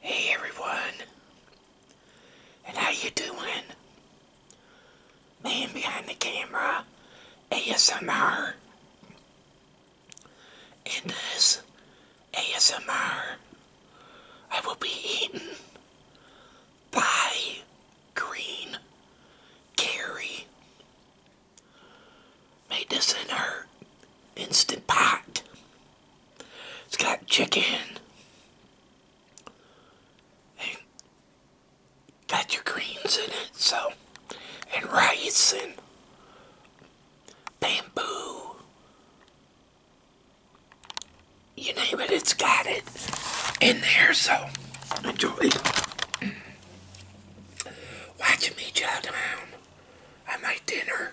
Hey everyone, and how you doing? Man behind the camera, ASMR, in this ASMR, I will be eaten by green carry Made this in her Instant Pot. It's got chicken. And got your greens in it, so. And rice and bamboo. You name it, it's got it in there, so enjoy. Watch me child. around on my dinner.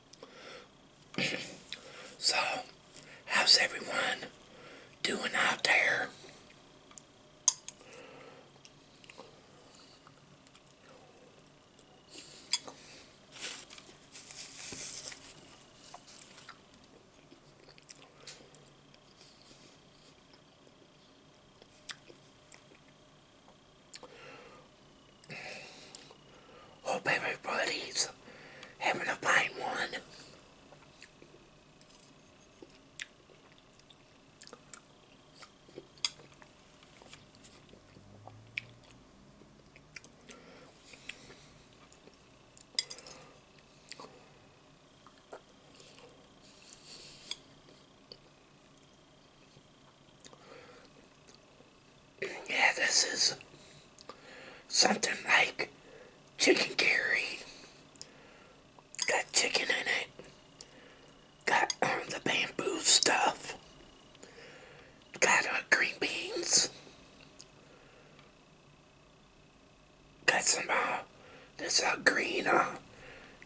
so, how's everyone doing out there? Hope oh, everybody's having a fine one. Yeah, this is something like chicken curry. Got chicken in it. Got um, the bamboo stuff. Got uh, green beans. Got some, uh, this uh, green uh,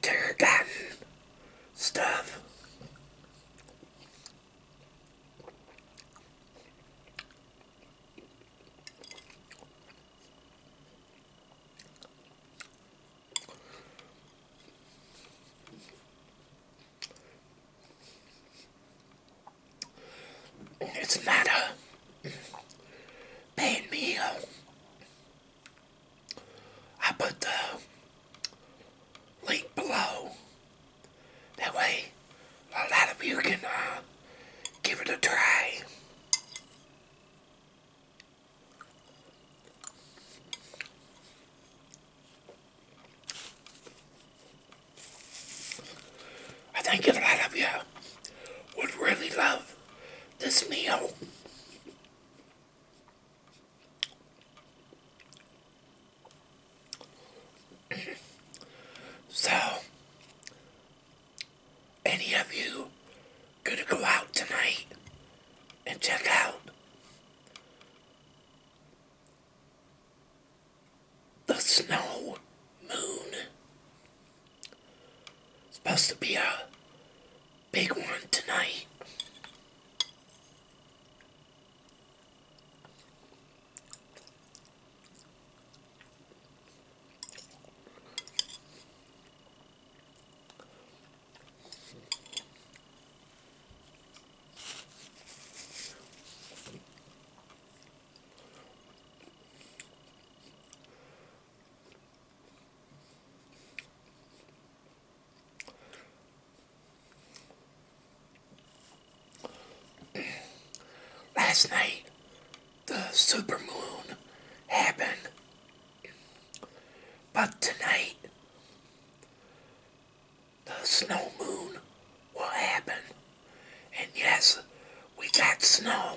tarragon stuff. It's not a bad meal. Uh, I put the link below. That way, a lot of you can uh, give it a try. I think a lot of you would really love this meal so, any of you gonna go out tonight and check out the snow moon? Supposed to be a big one tonight. Last night, the supermoon happened, but tonight, the snow moon will happen. And yes, we got snow.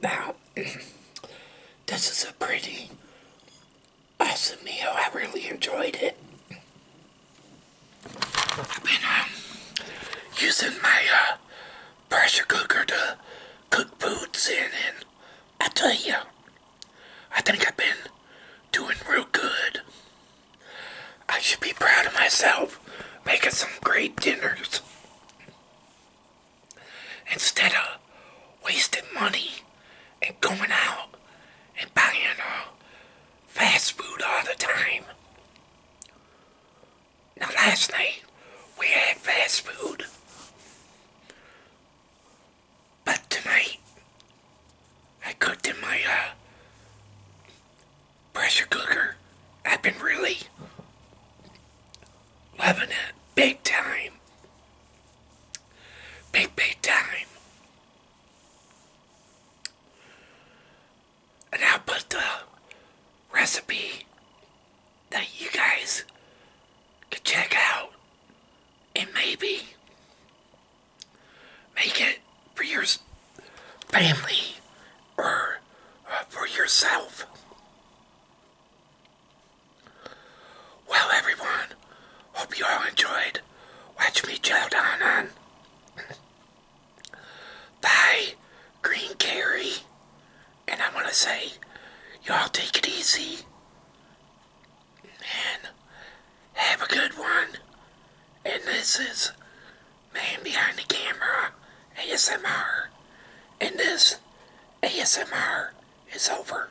Now, this is a pretty awesome meal. I really enjoyed it. I've been uh, using my uh, pressure cooker to cook foods in, and I tell you, I think I've been doing real good. I should be proud of myself making some great dinners instead of wasting money and going out and buying uh, fast food all the time. Now last night we had fast food. But tonight I cooked in my uh, pressure cooker. I've been really loving it big time. Big, big time. And I'll put the recipe that you guys can check out and maybe make it for your family or uh, for yourself. Well, everyone, Hope you all enjoyed. Watch me chow down on. Bye, Green Carry. And I want to say, y'all take it easy. And have a good one. And this is Man Behind the Camera ASMR. And this ASMR is over.